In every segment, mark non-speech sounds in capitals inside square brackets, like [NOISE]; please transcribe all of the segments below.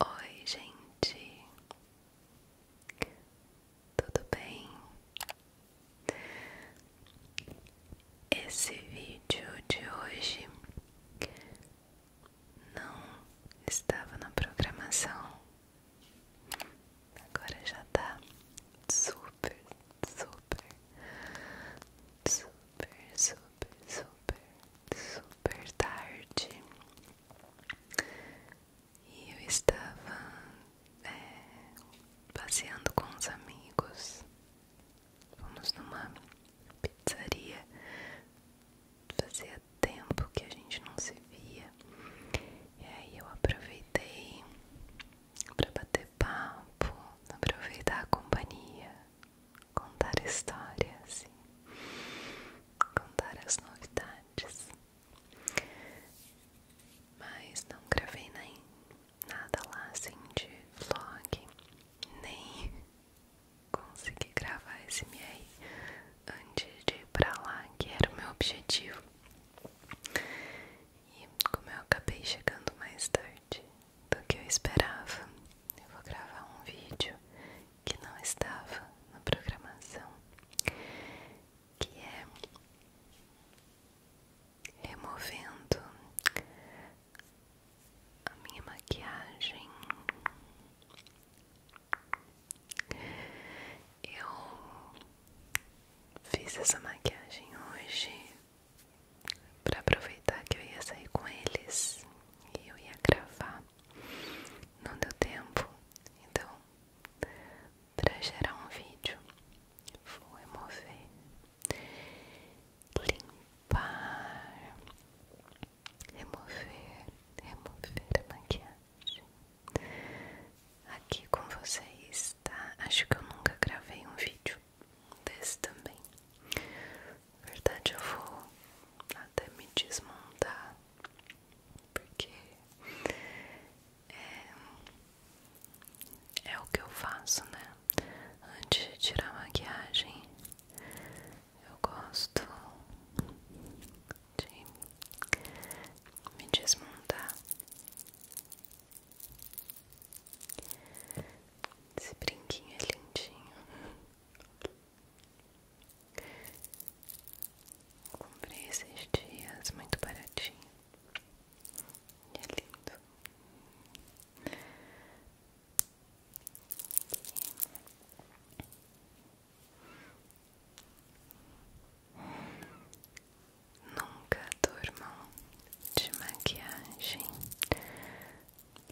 Oi, gente, tudo bem? Esse vídeo de hoje não estava na programação. Agora já tá super, super, super, super, super, super tarde. E eu estava é, passeando com os amigos. Fomos numa pizzaria. Fazia tempo que a gente não se via. E aí eu aproveitei para bater papo, aproveitar a companhia, contar histórias, contar as novidades. Mas não gravei nem nada lá assim de vlog, nem consegui gravar esse MR antes de ir pra lá, que era o meu objetivo. E como eu acabei chegando mais tarde do que eu esperava, eu vou gravar um vídeo que não estava na programação, que é removendo a minha maquiagem. Eu Fiz essa maquiagem hoje para aproveitar que eu ia sair com eles e eu ia gravar. Não deu tempo, então para gerar um vídeo vou remover, limpar, remover, remover a maquiagem. Aqui com vocês, tá? Acho que eu nunca gravei um vídeo desse também. Na verdade, eu vou até me desmontar, porque é, é o que eu faço, né? Antes de tirar a maquiagem, eu gosto de me desmontar esse brinquinho é lindinho. comprei esses dias muito baratinho. E é lindo. Nunca durmam de maquiagem,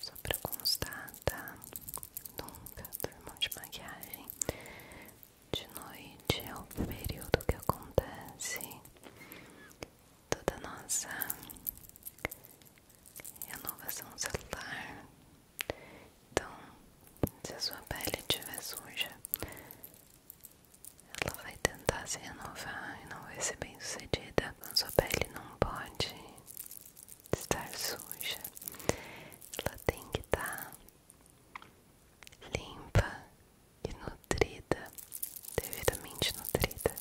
só pra constar, tá? Nunca durmam de maquiagem. De noite é o período que acontece toda a nossa renovação celular. Então, se a sua pele estiver suja, ela vai tentar se renovar e não vai ser bem sucedida. A sua pele não pode estar suja. Ela tem que estar tá limpa e nutrida, devidamente nutrida.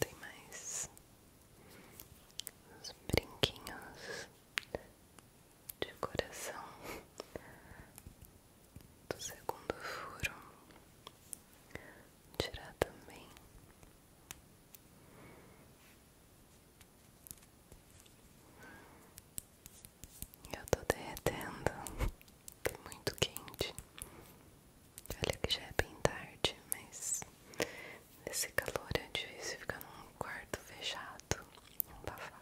Tem mais brinquinhos de coração do segundo furo, tirar também eu tô derretendo, [LAUGHS] tá muito quente. Olha que já é bem tarde, mas esse calor é difícil ficar num quarto fechado, um abafado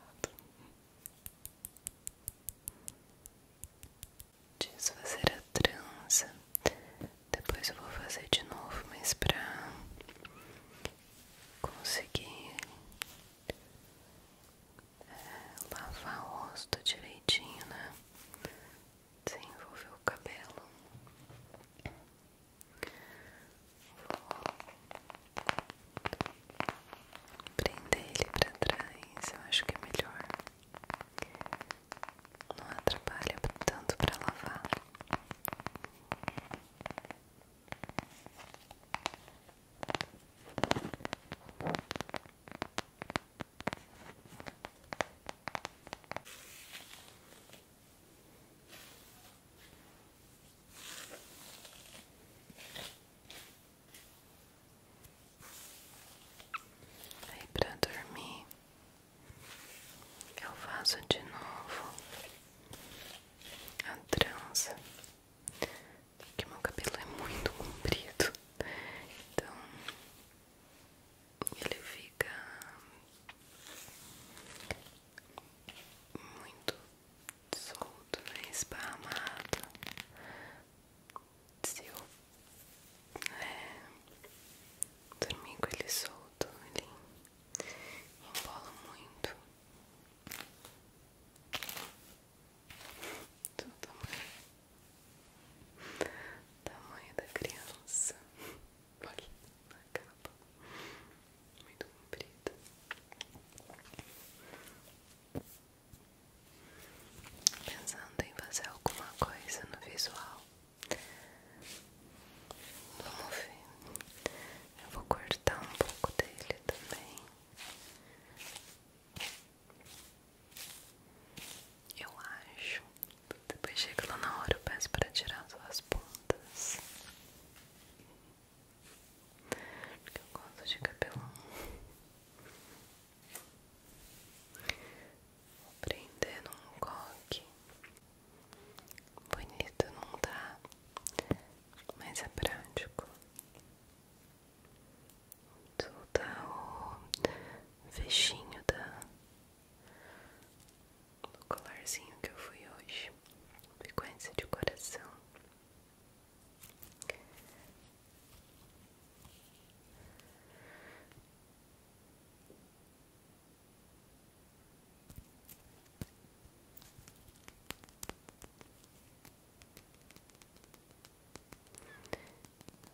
desfazer a trança. Depois eu vou fazer de novo, mas pra conseguir é, lavar o rosto direitinho, né? Desenvolver o cabelo. Vou prender ele pra trás, eu acho que é melhor. Não atrapalha tanto para lavar. Aí pra dormir eu faço de novo a trança, porque meu cabelo é muito comprido, então ele fica muito solto, né? Esparramado se eu é. dormir com ele solto, ele embola muito do tamanho, tamanho da criança. Olha na capa, muito comprida pensando em fazer alguma coisa no visual. Vamos ver. Eu vou cortar um pouco dele também. Eu acho. Depois chega lá na hora, eu peço para tirar as pontas. Porque eu gosto de cabelo. Vou prender num coque. Bonito não tá, mas é prático. Soltar tá o fechinho da... do colarzinho que eu fui hoje. Frequência de coração.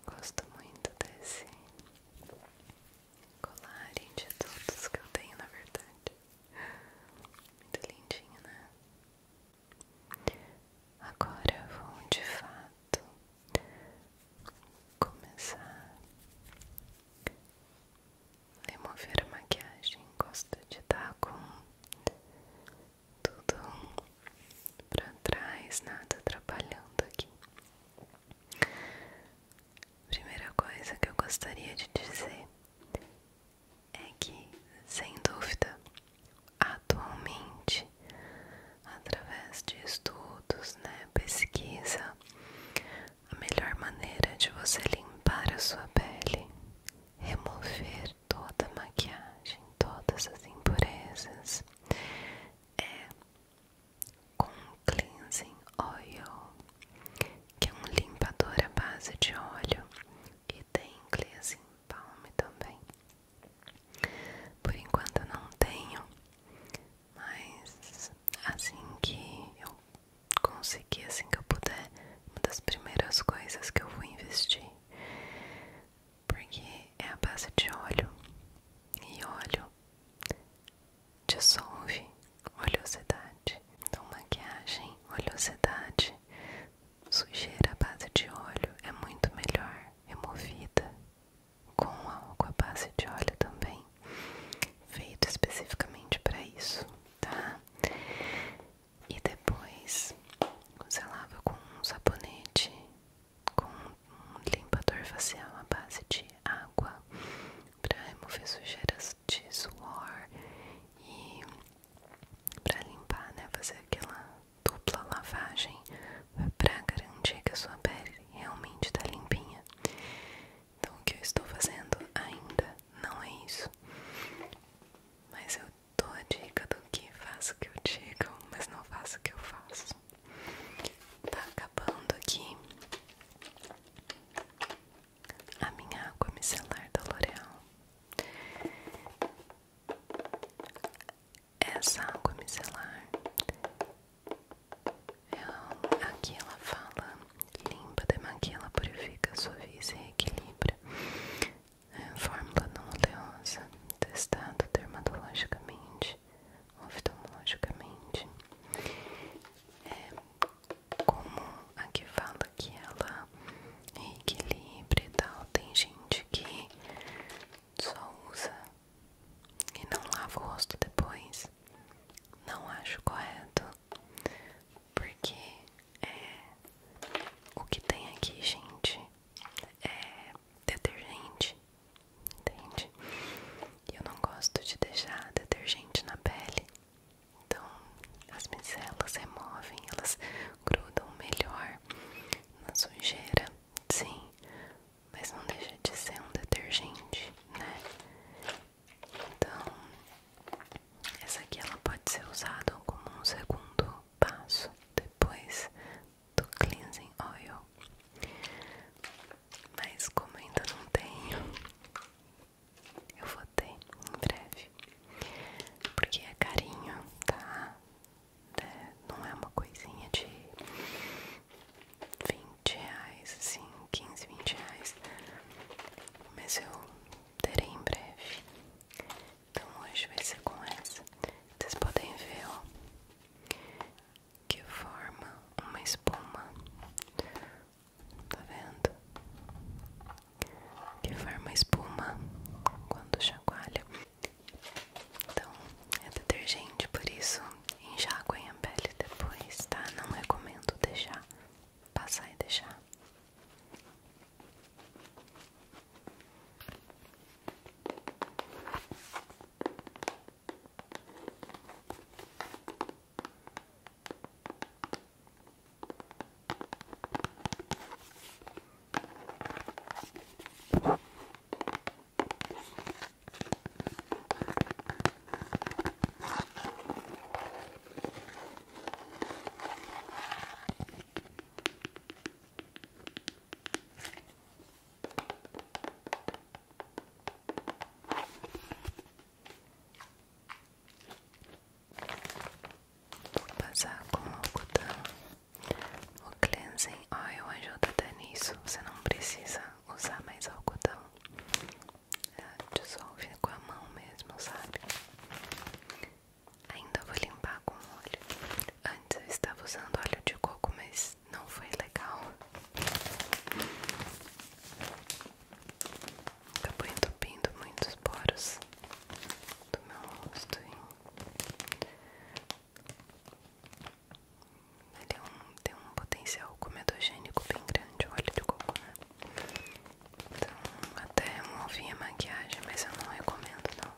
Gosto muito desse colarinho de todos que eu tenho, na verdade. Muito lindinho, né? Agora vou de fato começar a remover a maquiagem. Gosto de estar com tudo pra trás, nada trabalhando aqui. Primeira coisa que eu gostaria de dizer é que, sem dúvida, atualmente através de estudos, né, pesquisa, a melhor maneira de você limpar a sua pele, remover toda a maquiagem, todas as impurezas é com cleansing oil, que é um limpador à base de óleo e tem cleansing balm também. Por enquanto eu não tenho, mas assim que eu conseguir, assim que eu puder, uma das primeiras coisas que eu vou investir, porque é a base de óleo e óleo dissolve oleosidade. Então, maquiagem, oleosidade, sujeira à base de óleo é muito melhor removida com álcool à base de óleo também, feito especificamente para isso, tá? E depois você lava com um sabonete, com um limpador facial à base de água, para remover sujeiras de suor e para limpar, né? Fazer aquela dupla lavagem para garantir que a sua pele realmente está limpinha. Então, o que eu estou fazendo ainda não é isso, mas eu dou a dica do que faço que eu digo, mas não faço que eu faço. Tá acabando aqui a minha água micelar da L'Oreal essa água micelar, ela, aqui ela fala limpa, demaquia, ela purifica, suaviza e reequilibra. É, fórmula não oleosa, testada dermatologicamente, oftalmologicamente. É, como aqui fala que ela reequilibra e tal, tem gente que só usa e não lavo o rosto depois, não acho correto, porque é, o que tem aqui, gente, é detergente, entende? E eu não gosto de deixar detergente na pele, então as micelas removem, elas grudam melhor na sujeira, sim, mas não deixa de ser um detergente, né? Então, essa aqui ela pode ser usada como um segundo passo depois do cleansing oil. Mas como ainda não tenho, eu vou ter em breve. Porque é carinho, tá? É, não é uma coisinha de 20 reais, assim, 15, 20 reais. Mas eu terei em breve. Então hoje vai ser com essa. Vocês podem ver, ó, que forma uma espuma. Tá vendo? Que forma espuma quando chacoalha. Então, é detergente, por isso enxaguem a pele depois, tá? Não recomendo deixar passar e deixar. Vou passar com o cotão o cleansing assim, olha o ajuda tá nisso, você não precisa usar mais algodão. É, dissolve com a mão mesmo, sabe? Ainda vou limpar com óleo. Antes eu estava usando óleo de coco, mas não foi legal. Acabou tá entupindo muitos poros do meu rosto. Ele tem um potencial comedogênico bem grande, óleo de coco, né? Então, até removi a maquiagem, mas eu não recomendo, não.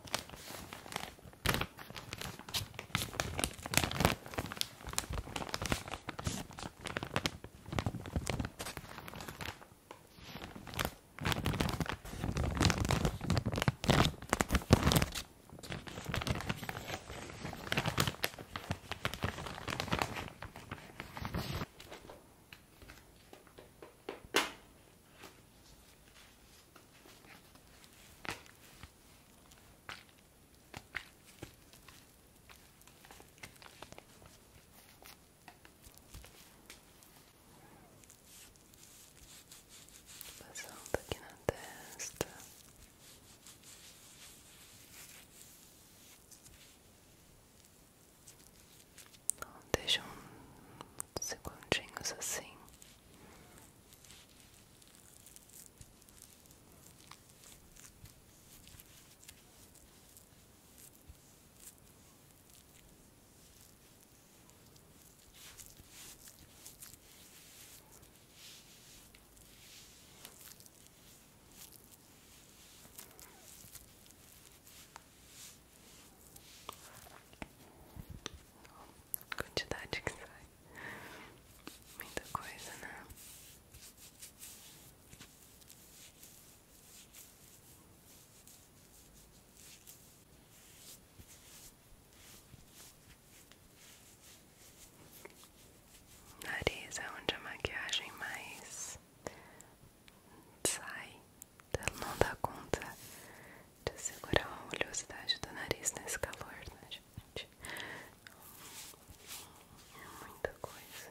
Passando aqui na testa. Então, deixa um segundinhos assim quantidade que sai, muita coisa, né? Nariz é onde a maquiagem mais sai. Ela não dá conta de segurar a oleosidade do nariz nesse calor, né, gente? É muita coisa.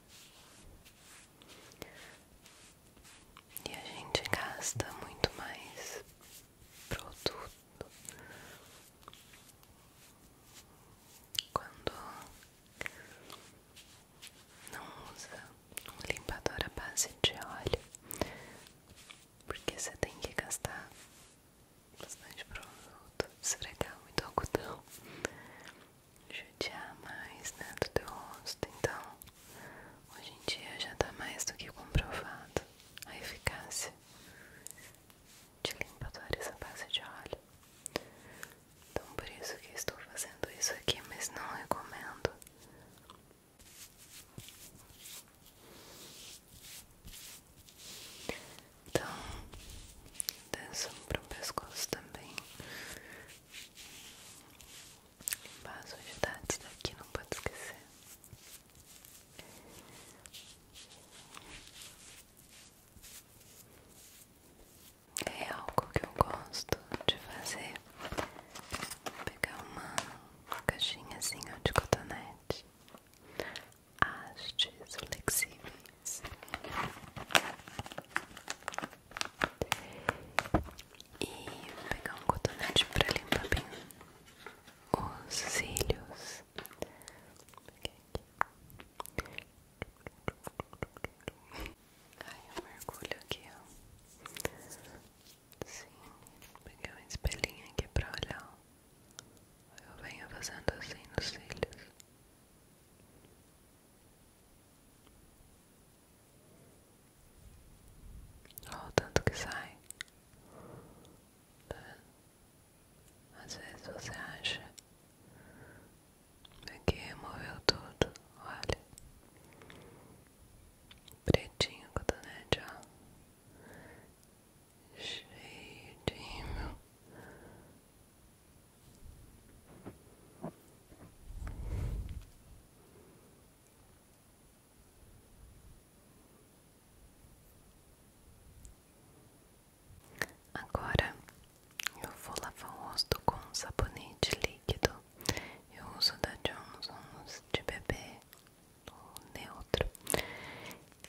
E a gente gasta muito mais produto quando não usa um limpador à base de óleo, porque você tem que gastar bastante produto, esfregar muito algodão judiar mais né, do teu rosto. Então, hoje em dia já tá mais do que comprovado a eficácia de limpadores a base de óleo. Então, por isso que estou fazendo isso aqui, mas não recomendo. Então, para o pescoço também. Limpar as sujidades tá daqui, não pode esquecer. É algo que eu gosto de fazer. pegar uma caixinhazinha de cotonete. Hastes flexíveis. E vou pegar um cotonete pra limpar bem os cílios. aí eu mergulho aqui, ó. Sim, peguei um espelhinho aqui pra olhar, ó. Eu venho fazendo assim nos cílios. Olha o tanto que sai. Tá é. vendo? Às vezes você acha que removeu tudo. Olha. Pretinho cotonete, ó. Cheio de rímel. Agora eu vou lavar o rosto com um sabonete líquido. Eu uso da Johnson's de bebê, neutro.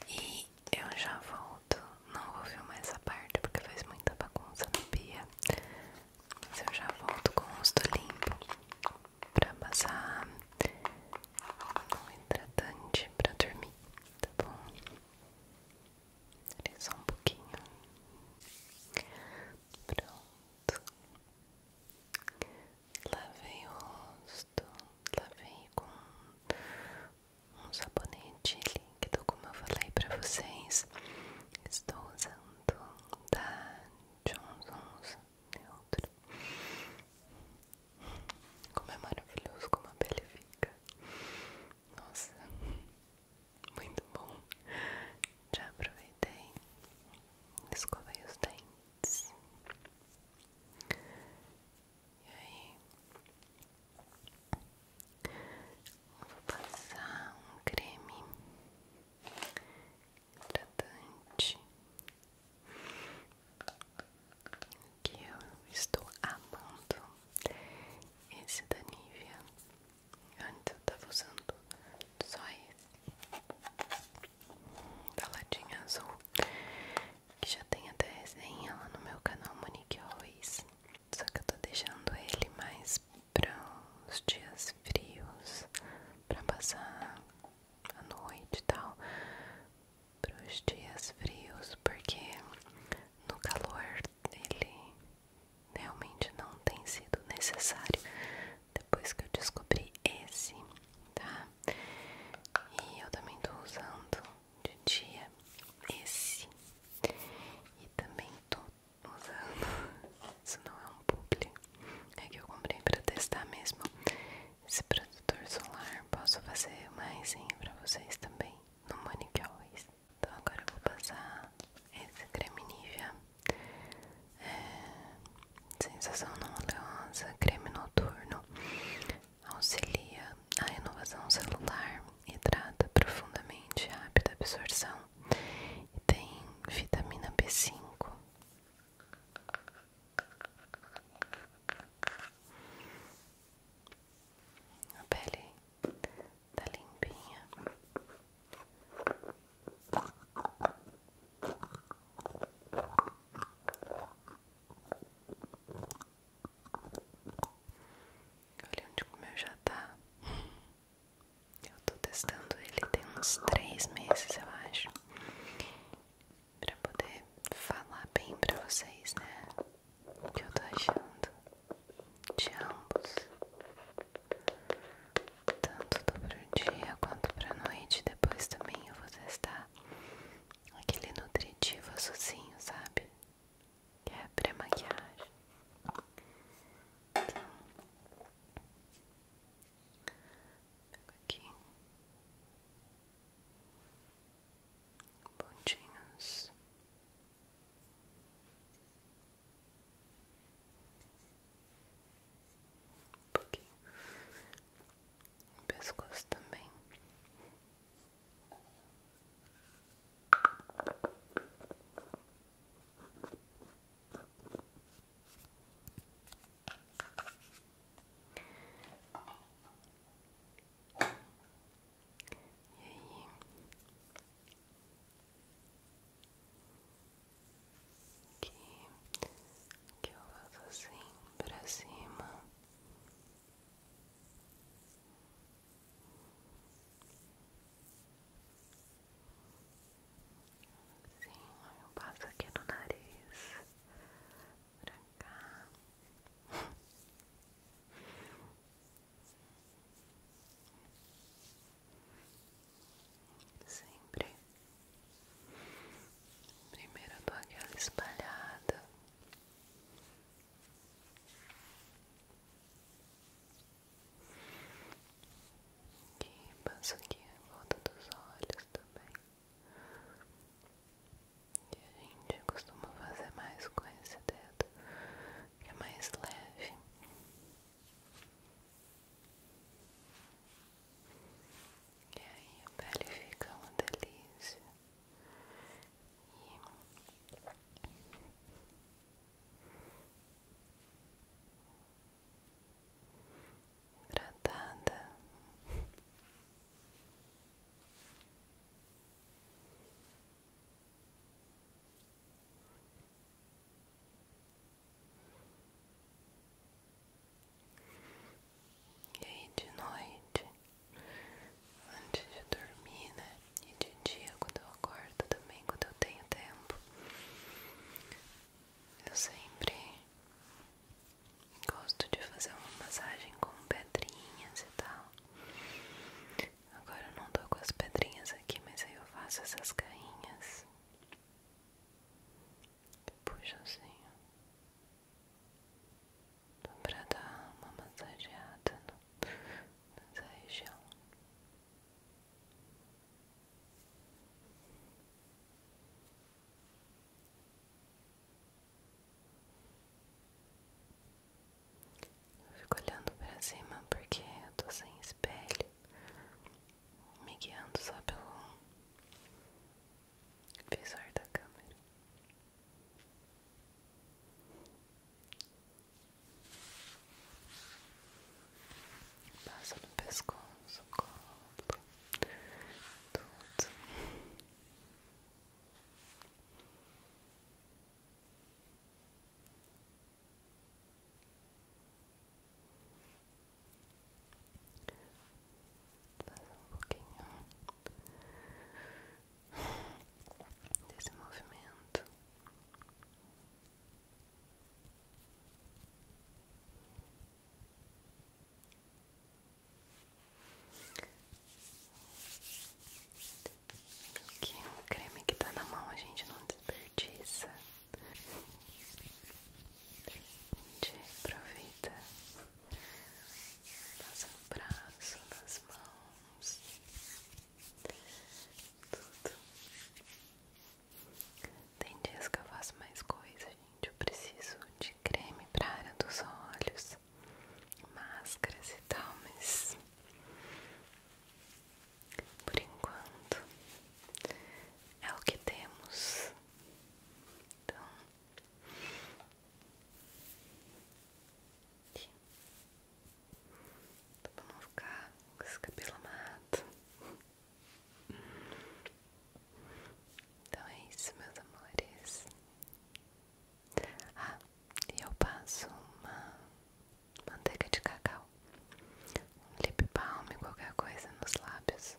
E eu já volto. Não vou filmar essa parte porque faz muita bagunça na pia. Mas eu já volto com o rosto limpo pra passar um hidratante pra dormir, tá bom? Olha é só um pouquinho. Pronto. Lavei o rosto, lavei com um sabonete líquido, como eu falei pra vocês. Estou usando junto tá? da Johnson's Neutro. Como é maravilhoso como a pele fica. Nossa, muito bom. Já aproveitei, escovei os dentes. E aí, vou passar um creme hidratante que eu estou amando esse da Nivea antes eu tava usando só esse da latinha azul que já tem até resenha lá no meu canal Monique Always só que eu tô deixando ele mais para os dias frios, para passar a noite e tal, para os dias frios, porque no calor ele realmente não tem sido necessário depois que eu descobri esse, tá? E eu também tô usando de dia esse e também tô usando. Isso não é um publi. É que eu comprei para testar mesmo esse protetor solar. Posso fazer mais hein, pra vocês também no Manic Always. Então agora vou passar esse creme Nivea. É, sensação não oleosa, creme noturno. Auxilia a renovação celular. Hidrata profundamente, rápida absorção tem vitamina b cinco A pele tá limpinha. Olha onde o meu já tá. Eu tô testando ele tem uns três meses, eu acho, pra poder falar bem pra vocês, né? O que eu tô achando de ambos, tanto do pro dia quanto pra noite. Depois também eu vou testar aquele nutritivo sozinho, sabe? Que é pré-maquiagem. Pego aqui pontinhos. Um pouquinho pescoço também. E aí? Que, eu faço assim pra cima Sim, eu passo aqui no nariz pra cá. Sempre. primeira eu espalhada. E passo aqui em volta dos olhos também. E a gente costuma fazer mais com esse dedo, que é mais leve. E aí a pele fica uma delícia. E tratada. E aí de noite, antes de dormir, né? E de dia, quando eu acordo também, quando eu tenho tempo, eu sempre gosto de fazer uma massagem com pedrinhas e tal. Agora eu não tô com as pedrinhas aqui, mas aí eu faço essas carinhas. Puxa assim, ó. Pra dar uma massageada no, nessa região fico olhando pra cima porque eu tô sem espelho, me guiando só pelo visor da câmera. Passa no pescoço, colo, tudo. Faz um pouquinho desse movimento. Aqui o creme que tá na mão a gente não desperdiça. A gente aproveita. Passa no braço, nas mãos. Tudo. Tem dias que eu faço mais coisa, gente. Eu preciso de creme pra área dos olhos, máscaras e tal, mas por enquanto é o que temos. Então. Aqui. Então, pra não ficar com esse cabelo amado. Então é isso, meus amores. Ah, eu passo uma manteiga de cacau, um lip balm, qualquer coisa nos lábios,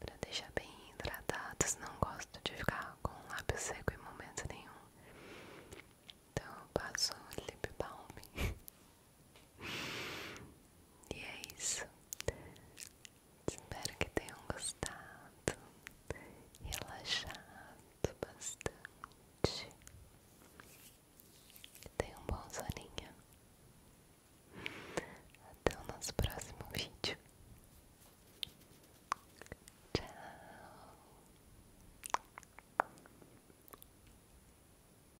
pra deixar bem hidratados. Não gosto de ficar com o lábio seco em momento nenhum. Então eu passo lip balm [LAUGHS] E é isso. Espero que tenham gostado, relaxado bastante. Tenham um bom soninho. Até o nosso próximo vídeo. Tchau.